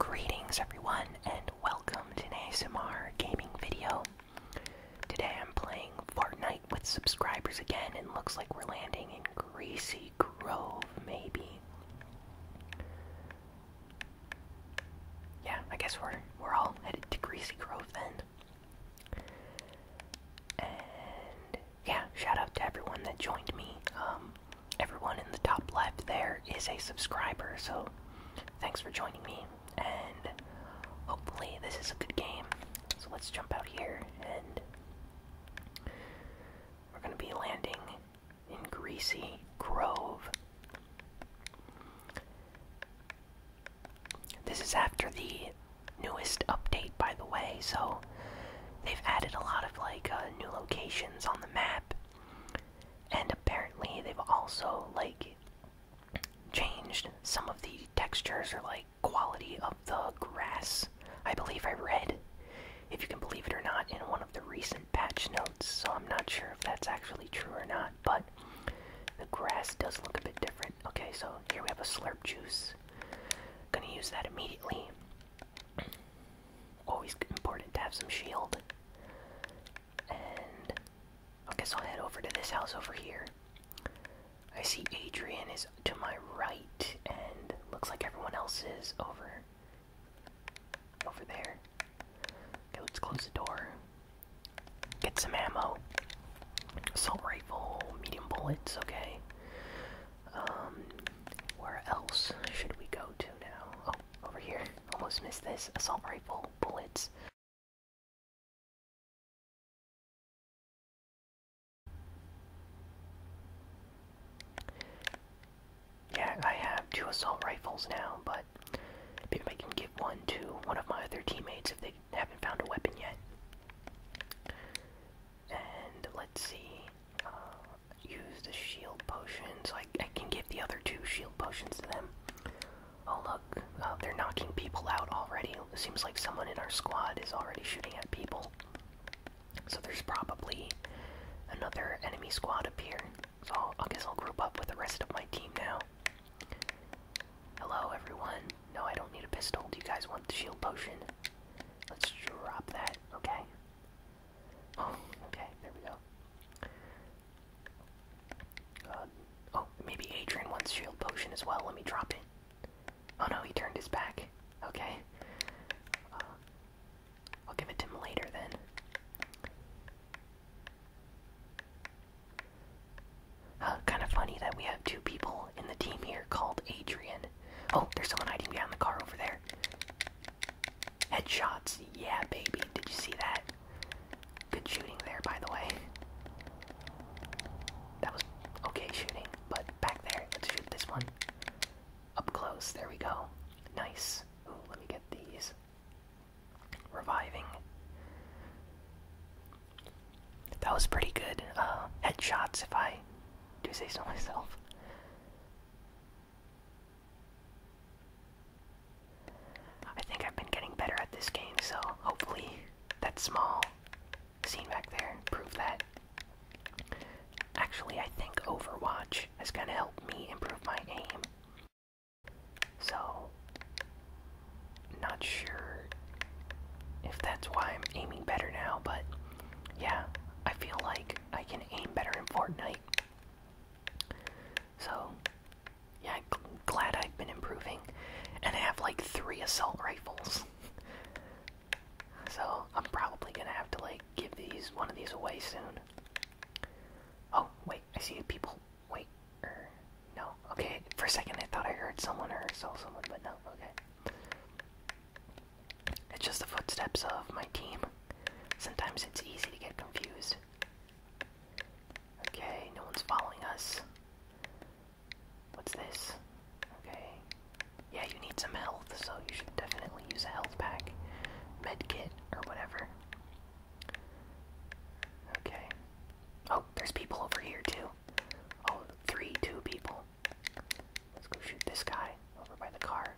Greetings everyone and welcome to an ASMR gaming video. Today I'm playing Fortnite with subscribers again and looks like we're landing in Greasy Grove maybe. Yeah, I guess we're we're all headed to Greasy Grove then. And yeah, shout out to everyone that joined me. Um, everyone in the top left there is a subscriber, so thanks for joining me. And hopefully, this is a good game. So let's jump out here, and we're gonna be landing in Greasy Grove. This is after the newest update, by the way, so they've added a lot of like uh, new locations on the map. And apparently they've also like changed some of the textures or like quality of the grass. I believe I read, if you can believe it or not, in one of the recent patch notes, so I'm not sure if that's actually true or not, but the grass does look a bit different. Okay, so here we have a slurp juice. Gonna use that immediately. Always important to have some shield. And I guess I'll head over to this house over here. I see Adrian is to my right, and looks like everyone else is over over there. Okay, let's close the door. Get some ammo. Assault rifle, medium bullets, okay. Um, where else should we go to now? Oh, Oh, over here. Almost missed this. Assault rifle, bullets. Yeah, I have two assault rifles now, but maybe I can give one to one of my other teammates if they haven't found a weapon yet. And let's see. Uh, use the shield potion, so I can give the other two shield potions to them. Oh look, uh, they're knocking people out already. seems like someone in our squad is already shooting at people. So there's probably another enemy squad up here. So I guess I'll group up with the rest of my team now. Hello everyone. No, I don't need a pistol. Do you guys want the shield potion? Let's drop that. Okay. Oh, okay, there we go. oh, maybe Adrian wants shield potion as well. Let me drop it. Oh no, he turned his back. Okay. Uh, I'll give it to him later then. kind of funny that we have two people in the team here called Adrian. Oh, there's someone hiding behind the car over there. Headshots, yeah, baby. Did you see that? Good shooting there, by the way. That was okay shooting, but back there, let's shoot this one. Up close, there we go. Nice. let me get these. Reviving. That was pretty good. Uh, headshots, if I do say so myself. I think I've been getting better at this game, so hopefully that small scene back there proved that. Actually, I think Overwatch has kind of helped me improve my aim. So, not sure if that's why I'm aiming better now, but yeah, I feel like I can aim better in Fortnite. So, yeah, glad I've been improving. And I have like three assault rifles. so, I'm probably gonna have to like give these one of these away soon. Oh, wait, I see people. Wait, er, no. Okay, for a second I thought I heard someone or saw someone, but no, okay. It's just the footsteps of my team. Sometimes it's easy to get confused. Okay, no one's following us. What's this? Okay. Yeah, you need some health, so you should definitely use a health pack, med kit, or whatever. Okay. Oh, there's people over here too. Oh, three, two people. Let's go shoot this guy over by the car.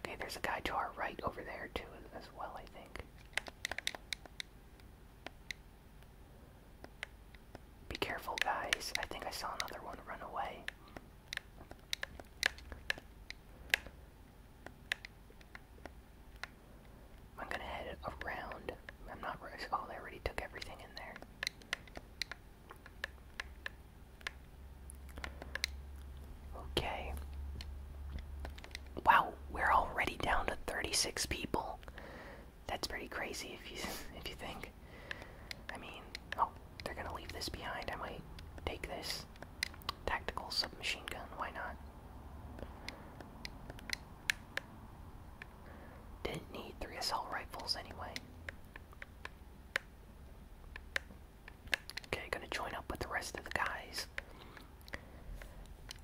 Okay, there's a guy to our right over there too as well, I think. Be careful, guys. I think I saw another one run away. I'm gonna head around. I'm not. Oh, they already took everything in there. Okay. Wow, we're already down to 36 people. That's pretty crazy if you if you think. I mean, oh, they're gonna leave this behind. I might take this tactical submachine gun. Why not? Didn't need three assault rifles anyway. Okay, gonna join up with the rest of the guys.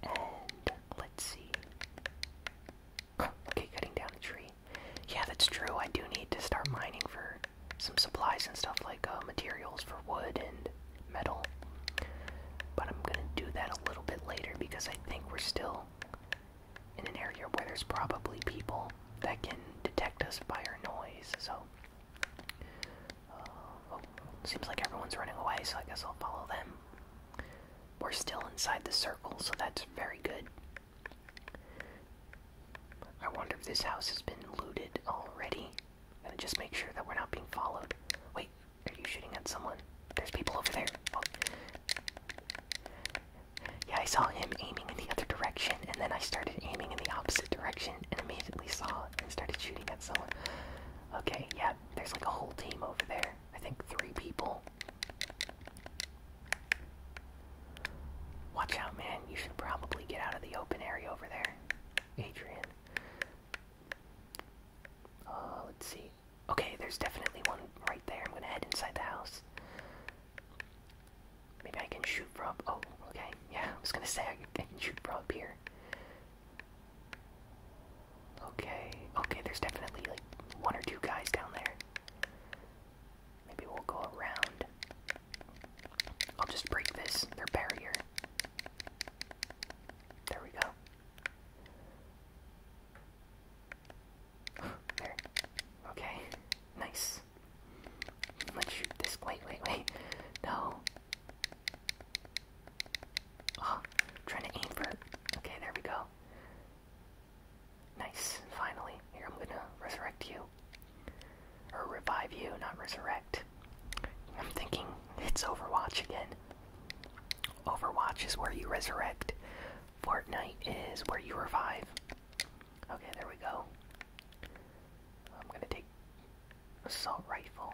And let's see. okay, cutting down the tree. Yeah, that's true. I do need to start mining for some supplies and stuff like uh, materials for wood and metal. But I'm gonna do that a little bit later because I think we're still in an area where there's probably people that can detect us by our noise. So uh, oh, seems like everyone's running away, so I guess I'll follow them. We're still inside the circle, so that's very good. I wonder if this house has been looted already. Gotta just make sure that we're not being followed. Wait, are you shooting at someone? There's people over there. Oh. Yeah, I saw him aiming in the other direction, and then I started aiming in the opposite direction and immediately saw and started shooting at someone. Okay, yeah, there's like a whole team over there. I think three people. Watch out, man. You should probably get out of the open area over there, Adrian. Uh, let's see. Okay, there's definitely one right there. I'm gonna head inside the house. Maybe I can shoot from. Oh, okay. Yeah, I was gonna say I can shoot from up here. Okay, okay, there's definitely like one or two guys down there. Maybe we'll go around. I'll just break this, their barrier. There we go. there. Okay, nice. Let's shoot this. Wait, wait, wait. No. Oh, trying to aim for Okay, there we go. Nice. Finally. Here, I'm gonna resurrect you. Or revive you, not resurrect. I'm thinking it's Overwatch again. Overwatch is where you resurrect. Fortnite is where you revive. Okay, there we go. I'm gonna take assault rifle.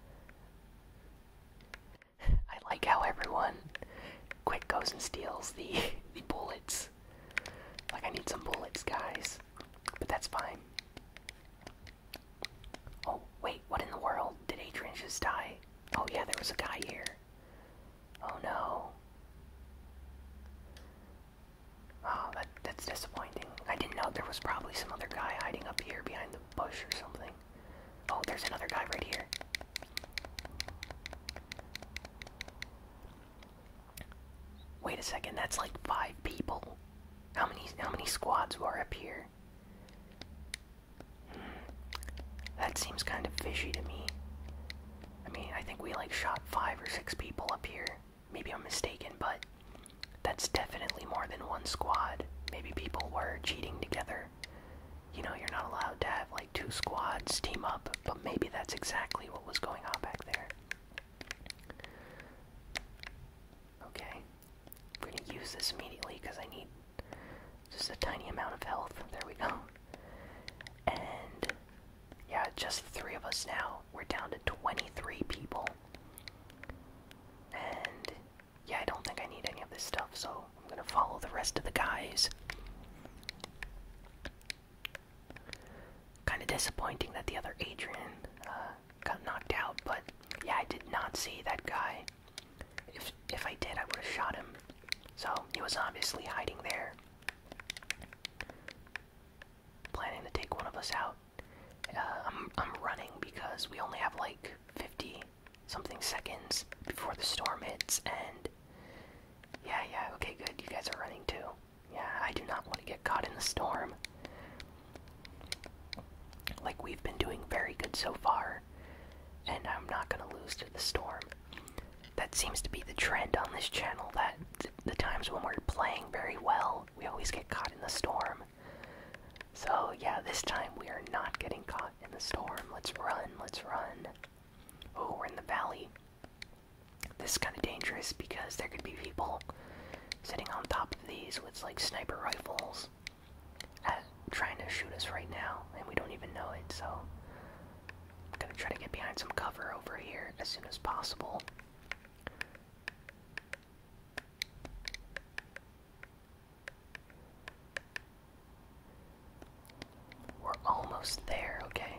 I like how everyone quick goes and steals the the bullets. Like I need some bullets, guys. But that's fine. Oh wait, what in the world? Did Adrian just die? Oh yeah, there was a guy here. Oh no. Oh, that, that's disappointing. I didn't know there was probably some other guy hiding up here behind the bush or something. Oh, there's another guy right here. Wait a second, that's like five people. How many how many squads are up here? Hmm. That seems kind of fishy to me. I mean, I think we like shot five or six people up here. Maybe I'm mistaken, but that's definitely more than one squad. Maybe people were cheating together. You know, you're not allowed to have like two squads team up, but maybe that's exactly what was going on back there. Okay. I'm gonna use this immediately because I need just a tiny amount of health. There we go. And yeah, just three of us now. We're down to 23 people. And yeah, I don't think I need any of this stuff, so I'm gonna follow the rest of the guys. Kind of disappointing that the other Adrian uh, got knocked out, but yeah, I did not see that guy. If if I did, I would have shot him. So he was obviously hiding there. Planning to take one of us out. Uh, I'm I'm running because we only have like 50 something seconds before the storm hits, and yeah, yeah, okay, good. You guys are running too. Yeah, I do not want to get caught in the storm. Like we've been doing very good so far, and I'm not gonna lose to the storm that seems to be the trend on this channel that the times when we're playing very well, we always get caught in the storm. So, yeah, this time we are not getting caught in the storm. Let's run, let's run. Oh, we're in the valley. This is kind of dangerous because there could be people sitting on top of these with like sniper rifles trying to shoot us right now, and we don't even know it, so I'm gonna try to get behind some cover over here as soon as possible. We're almost there, okay?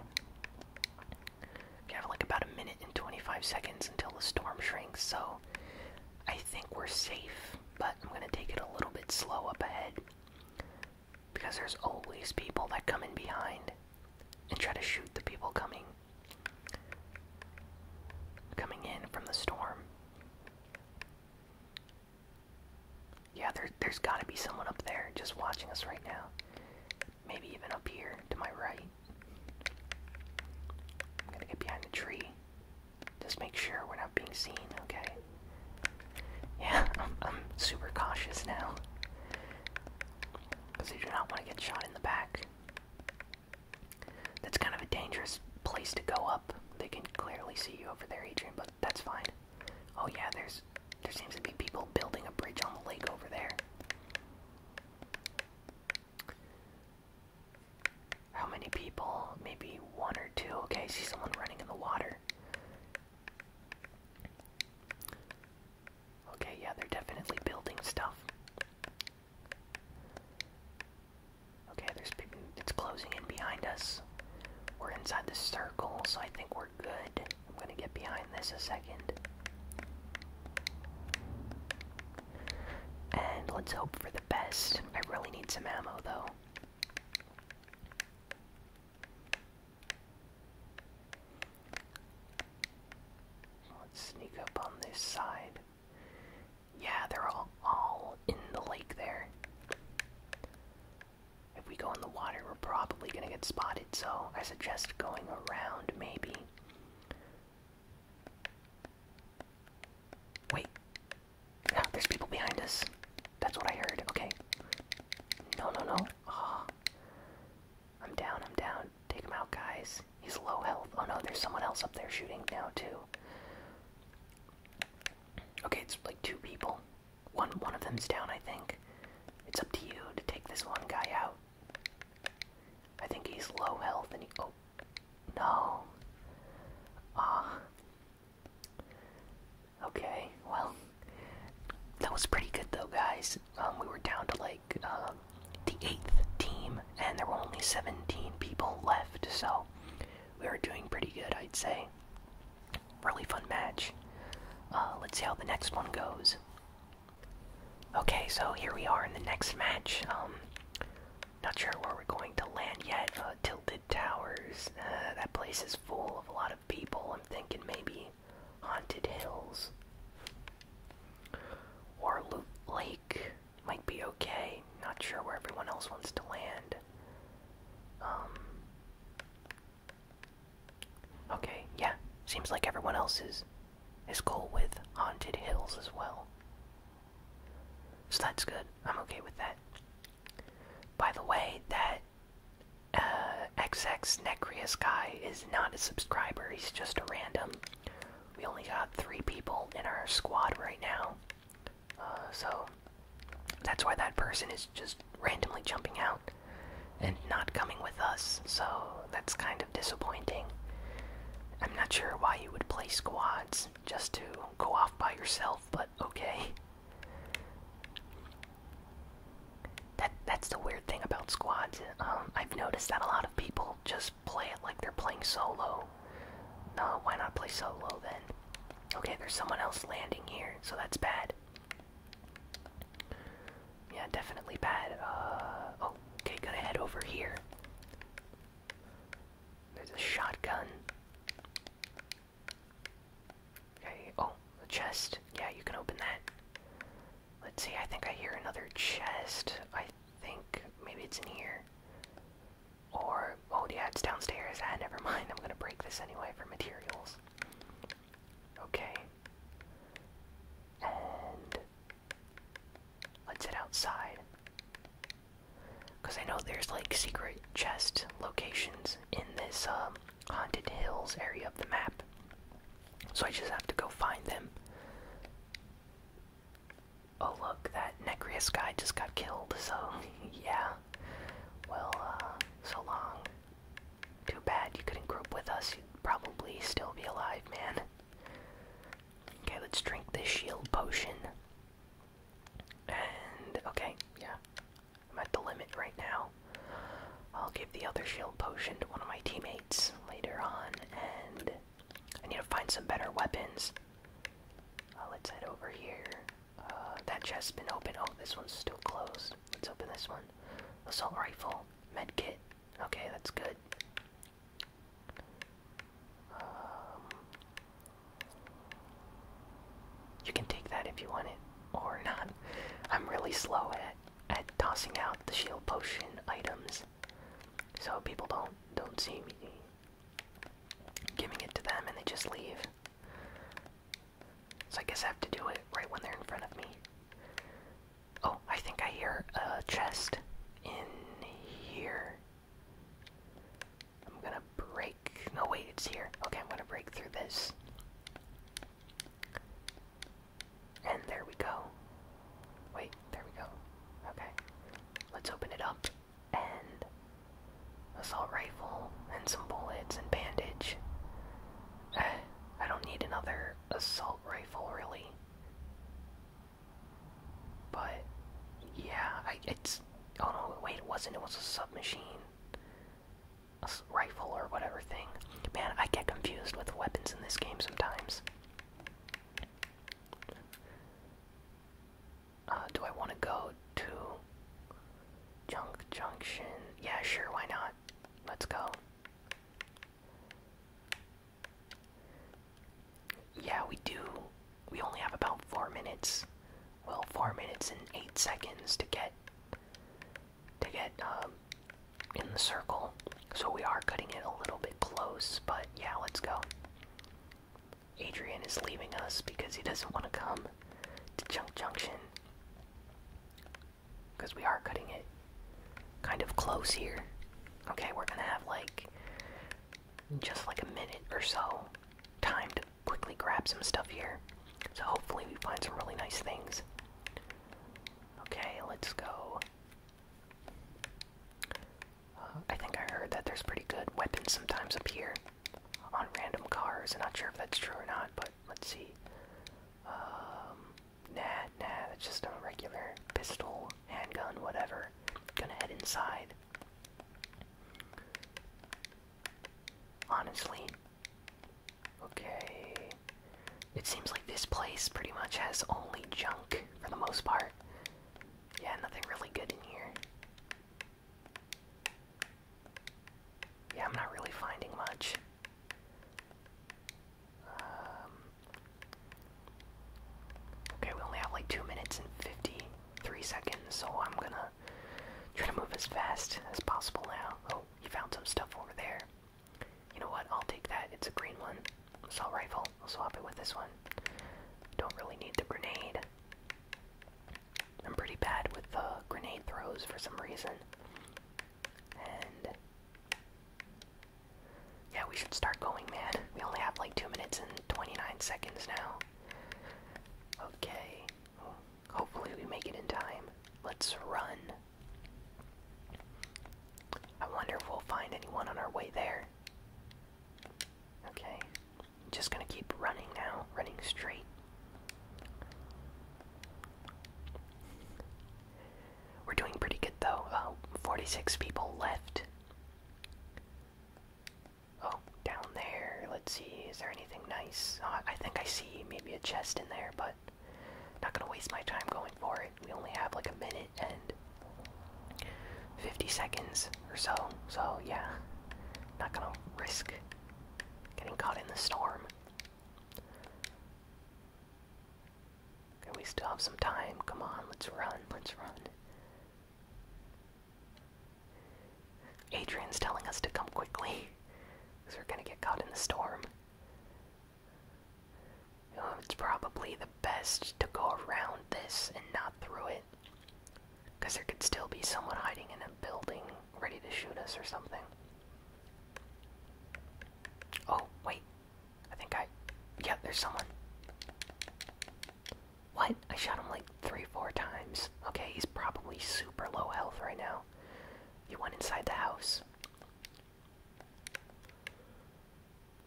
We have like about a minute and 25 seconds until the storm shrinks, so I think we're safe, but I'm gonna take it a little bit slow up ahead. Because there's always people that come in behind and try to shoot the people coming coming in from the storm. Yeah, there, there's got to be someone up there just watching us right now. Maybe even up here to my right. I'm gonna get behind the tree. Just make sure we're not being seen, okay? Yeah, I'm super cautious now. Because they do not want to get shot in the back. That's kind of a dangerous place to go up. They can clearly see you over there, Adrian, but that's fine. Oh yeah, there's there seems to be people building a bridge on the lake over there. How many people? Maybe one or two. Okay, see someone running in the water. Okay, yeah, they're definitely building stuff. Okay, there's people. It's closing in behind us. We're inside the circle, so I think we're good. I'm gonna get behind this a second. And let's hope for the best. I really need some ammo, though let's sneak up on this side. Yeah, they're all, in the lake there. If we go in the water, we're probably gonna get spotted, so I suggest going around maybe. Wait. Ah, there's people behind us. That's what I heard. Okay. No, no, no. Oh. I'm down, I'm down. Take him out, guys. He's low health. Oh no, there's someone else up there shooting now, too. Okay, it's like two people. One, one of them's down, I think. It's up to you to take this one guy out. I think he's low health and he. Oh. No. Ah. Okay, well, that was pretty good though, guys. Um, we were down to like um, the eighth team, and there were only 17 people left, so we were doing pretty good, I'd say. Really fun match. Uh, let's see how the next one goes. Okay, so here we are in the next match. Um, not sure where we're going to land yet. Uh, Tilted Towers. Uh, that place is full of a lot of people. I'm thinking maybe Haunted Hills. Warloop Lake might be okay. Not sure where everyone else wants to land. Um. Okay, yeah. Seems like everyone else is is cool with Haunted Hills as well. So that's good. I'm okay with that. By the way, that uh, XX Necreus guy is not a subscriber, he's just a random. We only got three people in our squad right now. Uh, so that's why that person is just randomly jumping out and not coming with us, so that's kind of disappointing. I'm not sure why you would play squads just to go off by yourself, but okay. That that's the weird thing about squads. Um, I've noticed that a lot of people just play it like they're playing solo. No, why not play solo then? Okay, there's someone else landing here, so that's bad. Yeah, definitely bad. Uh, oh, okay, gonna head over here. There's a shotgun. Okay, oh, the chest. Yeah, you can open that. Let's see, I think I hear another chest. I think maybe it's in here. Or, oh yeah, it's downstairs. Ah, never mind. I'm gonna break this anyway for materials. Okay. And let's get outside. Because I know there's like secret chest locations in this um, Haunted Hills area of the map. So I just have to go find them. Oh look, that Necreus guy just got killed, so yeah. Well, uh, so long. Too bad you couldn't group with us, you'd probably still be alive, man. Okay, let's drink this shield potion. And, okay, yeah. I'm at the limit right now. I'll give the other shield potion to one of my teammates later on, and I need to find some better weapons. Uh, let's head over here. Uh, that chest's been open. Oh, this one's still closed. Let's open this one. Assault rifle, med kit. Okay, that's good. Um, you can take that if you want it, or not. I'm really slow at it at tossing out the shield potion items, so people don't don't see me giving it to them and they just leave. So I guess I have to do it right when they're in front of me. Oh, I think I hear a chest in here. I'm gonna break. No, wait, it's here. Okay, I'm gonna break through this. And there we go. Wait, there we go. Okay. Let's open it up. And assault rifle and some bullets and bandage. Eh, I don't need another assault rifle really. But yeah, it's oh no, wait, it wasn't. It was a submachine rifle or whatever thing. Man, I get confused with weapons in this game sometimes. Uh, do I want to go to Junk Junction? Yeah, sure, why not? Let's go. Yeah, we do. We only have about four minutes. Well, four minutes and eight seconds to get to get um, in the circle. So we are cutting it a little bit close, but yeah, let's go. Adrian is leaving us because he doesn't want to come to Junk Junction. Because we are cutting it kind of close here. Okay, we're gonna have like just like a minute or so time to quickly grab some stuff here. So hopefully we find some really nice things. Okay, let's go. Uh, I think I heard that there's pretty good weapons sometimes up here on random cars. I'm not sure if that's true or not, but let's see. Um, nah, nah, that's just a regular pistol, handgun, whatever. Gonna head inside. Honestly, Okay. It seems like this place pretty much has only junk for the most part. Yeah, nothing really good in here. Yeah, I'm not really finding much. Um, okay, we only have like 2 minutes and 53 seconds, so I'm gonna try to move as fast as possible now. Oh, you found some stuff over there. You know what? I'll take that. It's a green one. Assault rifle. I'll swap it with this one. Don't really need the grenade. I'm pretty bad with the grenade throws for some reason. And. Yeah, we should start going, man. We only have like 2 minutes and 29 seconds now. Okay. Hopefully, we make it in time. Let's run. I wonder if we'll find anyone on our way there. Okay. Just gonna keep running now, running straight. We're doing pretty good though. Uh, 46 people left. Oh, down there. Let's see. Is there anything nice? Uh, I think I see maybe a chest in there, but not gonna waste my time going for it. We only have like a minute and 50 seconds or so. So yeah, not gonna risk getting caught in the storm. Okay, we still have some time. Come on, let's run, let's run. Adrian's telling us to come quickly because we're gonna get caught in the storm. It's probably the best to go around this and not through it. Because there could still be someone hiding in a building ready to shoot us or something. Oh, wait. I think I. Yeah, there's someone. What? I shot him like three, four times. Okay, he's probably super low health right now. You went inside the house.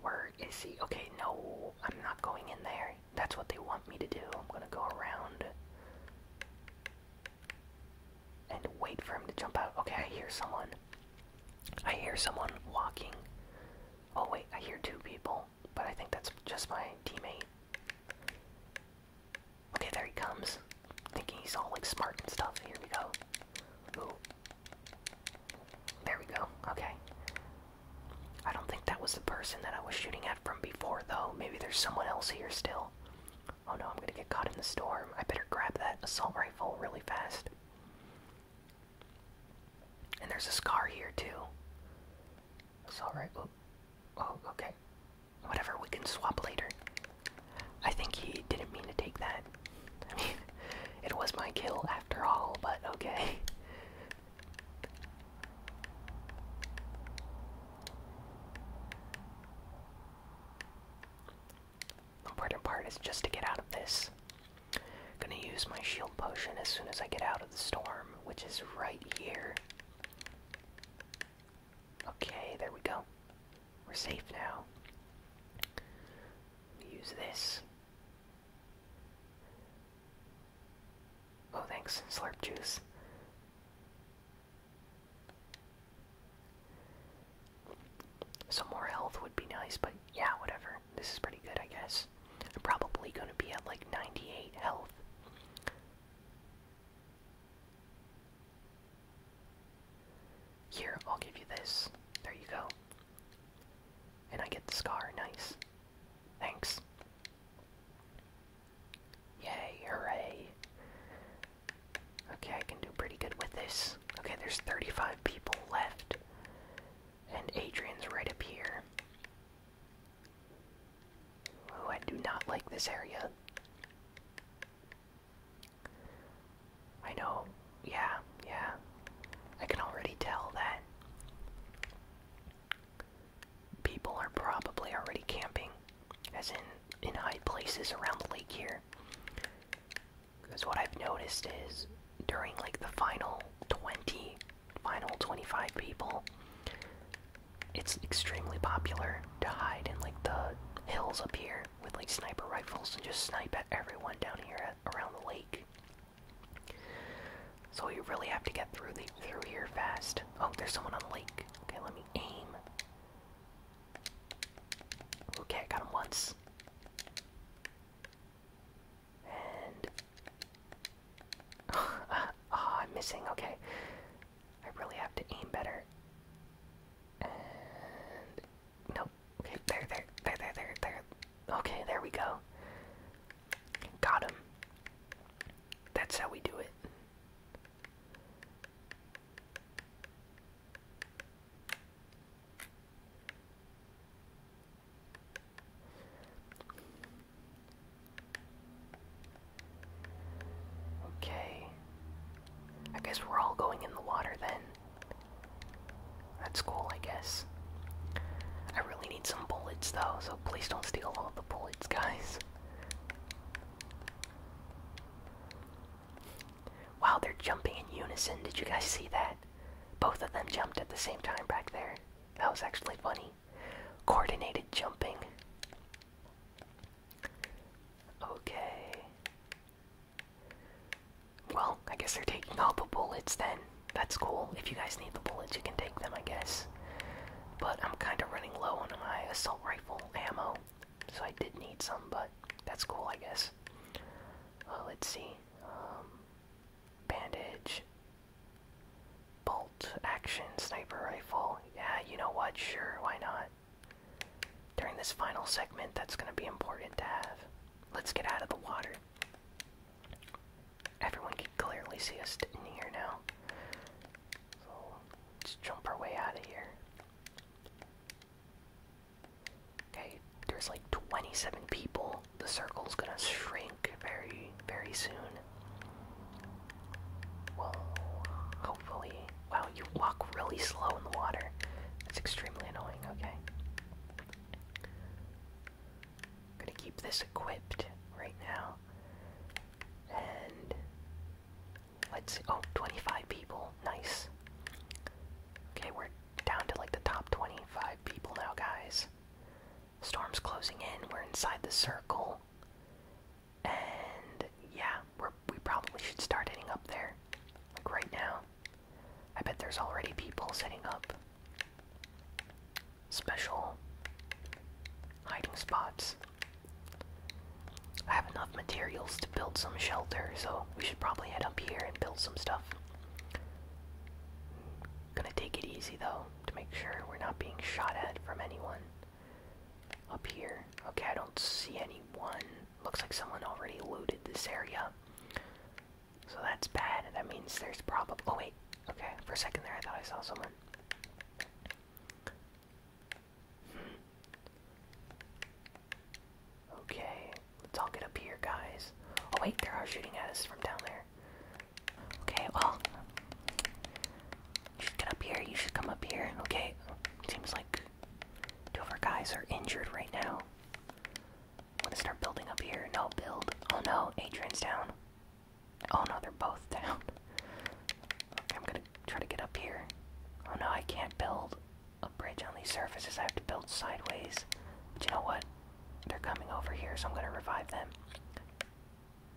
Where is he? Okay, no, I'm not going in there. That's what they want me to do. I'm gonna go around and wait for him to jump out. Okay, I hear someone. I hear someone walking. Oh, wait, I hear two people, but I think that's just my teammate. Okay, there he comes. Thinking he's all like smart and stuff. Here we go. There we go. Okay. I don't think that was the person that I was shooting at from before, though. Maybe there's someone else here still. Oh no, I'm gonna get caught in the storm. I better grab that assault rifle really fast. And there's a scar here, too. Assault rifle. Oh, okay. Whatever, we can swap later. I think he didn't mean to take that. it was my kill after all, but okay. The important part is just to get out of this. gonna use my shield potion as soon as I get out of the storm, which is right here. Okay, there we go. We're safe now. use this. Oh, thanks, slurp juice. Some more health would be nice, but yeah, whatever. This is pretty good, I guess. I'm probably gonna be at like 98 health. Here, I'll give you this. There you go. And I get the scar. Nice. Thanks. Yay, hooray. Okay, I can do pretty good with this. Okay, there's 35 people left. And Adrian's right up here. Oh, I do not like this area. I know, yeah, yeah. I can already tell that people are probably already camping, as in in high places around the lake here. Because what I've noticed is during like the final 20, final 25 people, it's extremely popular to hide in like the hills up here with like sniper rifles and just snipe at everyone down here around the lake. So you really have to get through through here fast. Oh, there's someone on the lake. Okay, let me aim. Okay, I got him once. And ah, I'm missing. Okay, I really have to aim better. And Nope. Okay, there, there, there, there, there, there. Okay, there we go. Got him. That's how we do it. Okay. I guess we're all going in the water then. That's cool, I guess. I really need some bullets though, so please don't steal all the bullets, guys. Wow, they're jumping in unison. Did you guys see that? Both of them jumped at the same time back there. That was actually funny. Coordinated jumping. Okay. Well, I guess they're taking all the bullets then. That's cool. If you guys need the bullets, you can take them, I guess. But I'm kind of running low on my assault rifle ammo, so I did need some, but that's cool, I guess. Uh, let's see. Um, bandage. Bolt action sniper rifle. Yeah, you know what? Sure, why not? During this final segment, that's going to be important to have. Let's get out of the water. Everyone can clearly see us in here now. So let's jump our way out of here. Okay, there's like 27 people. The circle's gonna shrink very, very soon. Whoa, hopefully. Wow, you walk really slow in the water. That's extremely annoying, okay. I'm gonna keep this equipped right now. And let's see, oh, 25 people, nice. Okay, we're down to like the top 25 people now, guys. Storm's closing in, we're inside the circle. And yeah, we're, we probably should start heading up there. Like right now. I bet there's already people setting up special hiding spots. I have enough materials to build some shelter, so we should probably head up here and build some stuff. Gonna take it easy though, to make sure we're not being shot at from anyone. Up here. Okay, I don't see anyone. Looks like someone already looted this area. So that's bad. That means there's a problem. Oh, wait. Okay. For a second there, I thought I saw someone. Okay. Let's all get up here, guys. Oh, wait. They're all shooting at us from down there. Okay, well. You should get up here. You should come up here. Okay. Seems like two of our guys are injured right now. I'm gonna start building up here. No, build. Oh no, Adrian's down. Oh no, they're both down. I'm gonna try to get up here. Oh no, I can't build a bridge on these surfaces. I have to build sideways. But you know what? They're coming over here, so I'm gonna revive them.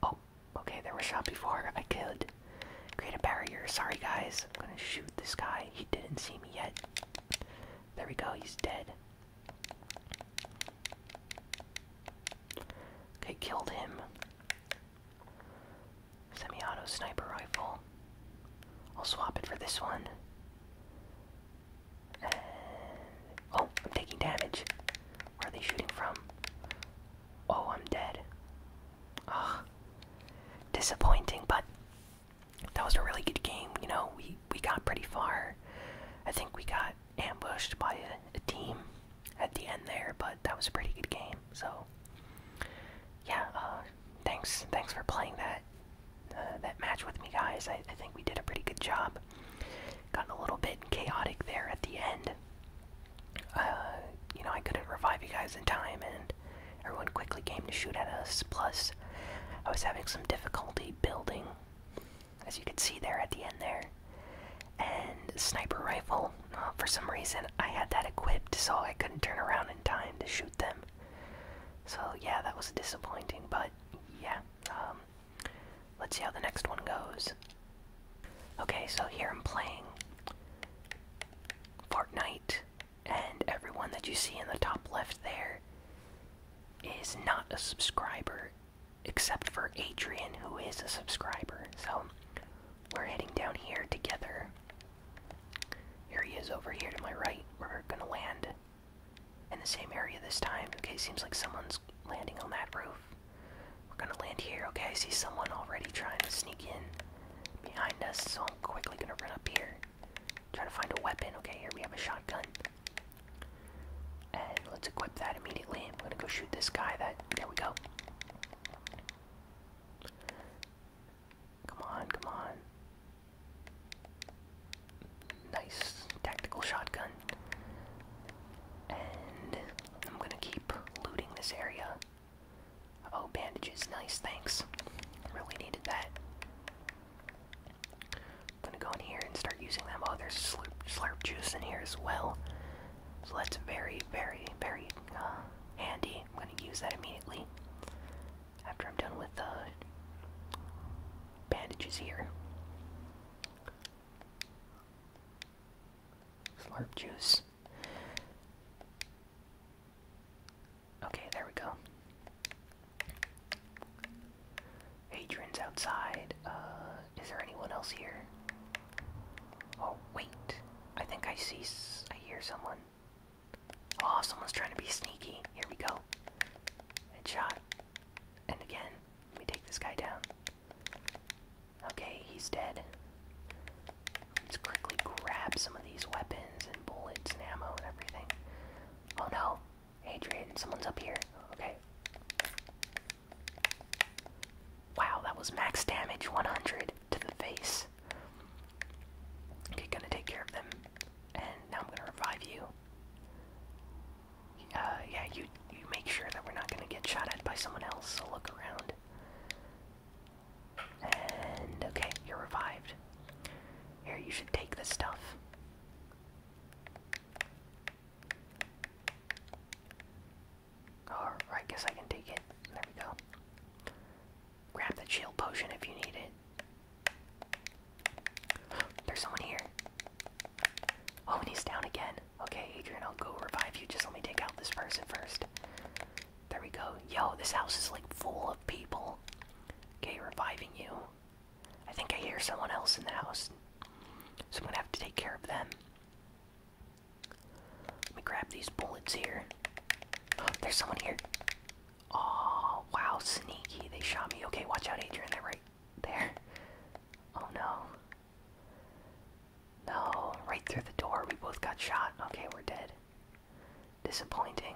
Oh, okay, they were shot before. I could create a barrier. Sorry, guys. I'm gonna shoot this guy. He didn't see me yet. There we go, he's dead. Okay, killed him. Semi auto sniper rifle. I'll swap it for this one. oh, I'm taking damage. Where are they shooting from? Oh, I'm dead. Ugh. Disappointing, but that was a really good game. You know, we we got pretty far. I think we got ambushed by a, team at the end there, but that was a pretty good game. So yeah, uh, thanks thanks for playing that uh, that match with me, guys. I, think we did a pretty good job. Got a little bit chaotic there at the end. Uh, you know, I couldn't revive you guys in time, and Everyone quickly came to shoot at us, plus, I was having some difficulty building, as you can see there at the end there. And sniper rifle, uh, for some reason, I had that equipped, so I couldn't turn around in time to shoot them. So, yeah, that was disappointing, but yeah. Um, let's see how the next one goes. Okay, so here I'm playing Fortnite and everyone that you see in the top left there is not a subscriber, except for Adrian, who is a subscriber. So we're heading down here together. Here he is over here to my right. We're gonna land in the same area this time. Okay, seems like someone's landing on that roof. We're gonna land here. Okay, I see someone already trying to sneak in behind us, so I'm quickly gonna run up here. Trying to find a weapon. Okay, here we have a shotgun. And let's equip that immediately. I'm gonna go shoot this guy. That there we go. Come on, come on. Nice tactical shotgun. And I'm gonna keep looting this area. Oh, bandages. Nice, thanks. Really needed that. I'm gonna go in here and start using them. Oh, there's slurp, juice in here as well. So that's very, very, very uh, handy. I'm gonna use that immediately after I'm done with the uh, bandages here. Slurp juice. Okay, there we go. Adrian's outside. Uh, is there anyone else here? Oh, wait. I think I see. I hear someone. Oh, someone's trying to be sneaky. Here we go. Headshot. And again, let me take this guy down. Okay, he's dead. Let's quickly grab some of these weapons and bullets and ammo and everything. Oh no, Adrian, someone's up here. Okay. Wow, that was max damage 100 to the face. Okay, gonna take care of them. And now I'm gonna revive you. Uh, yeah, you, you make sure that we're not gonna get shot at by someone else, so look around. And okay, you're revived. Here, you should take this stuff. Or I guess I can take it. There we go. Grab the shield potion if you need it. There's someone here. Oh, and he's down again. Okay, Adrian, I'll go revive you. Just let me take out this person first. There we go. Yo, this house is like full of people. Okay, reviving you. I think I hear someone else in the house. So I'm gonna have to take care of them. Let me grab these bullets here. Oh, there's someone here. Oh, wow, sneaky. They shot me. Okay, watch out, Adrian. They're right there. Oh no. No, right through the door. We both got shot. Okay, we're dead. Disappointing.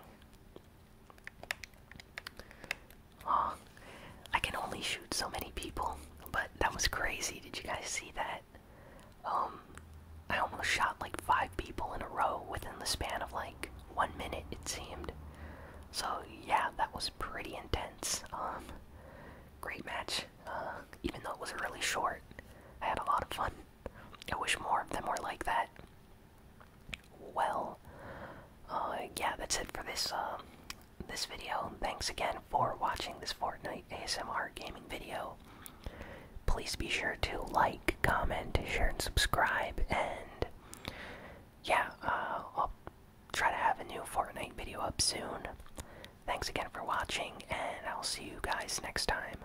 Oh, I can only shoot so many people, but that was crazy. Did you guys see that? Um, I almost shot like five people in a row within the span of like one minute, it seemed. So, yeah, that was pretty intense. Um, great match. Uh, even though it was really short, I had a lot of fun. I wish more of them were like that well uh, yeah that's it for this uh, this video thanks again for watching this fortnite asmr gaming video please be sure to like comment share and subscribe and yeah uh, i'll try to have a new fortnite video up soon thanks again for watching and i'll see you guys next time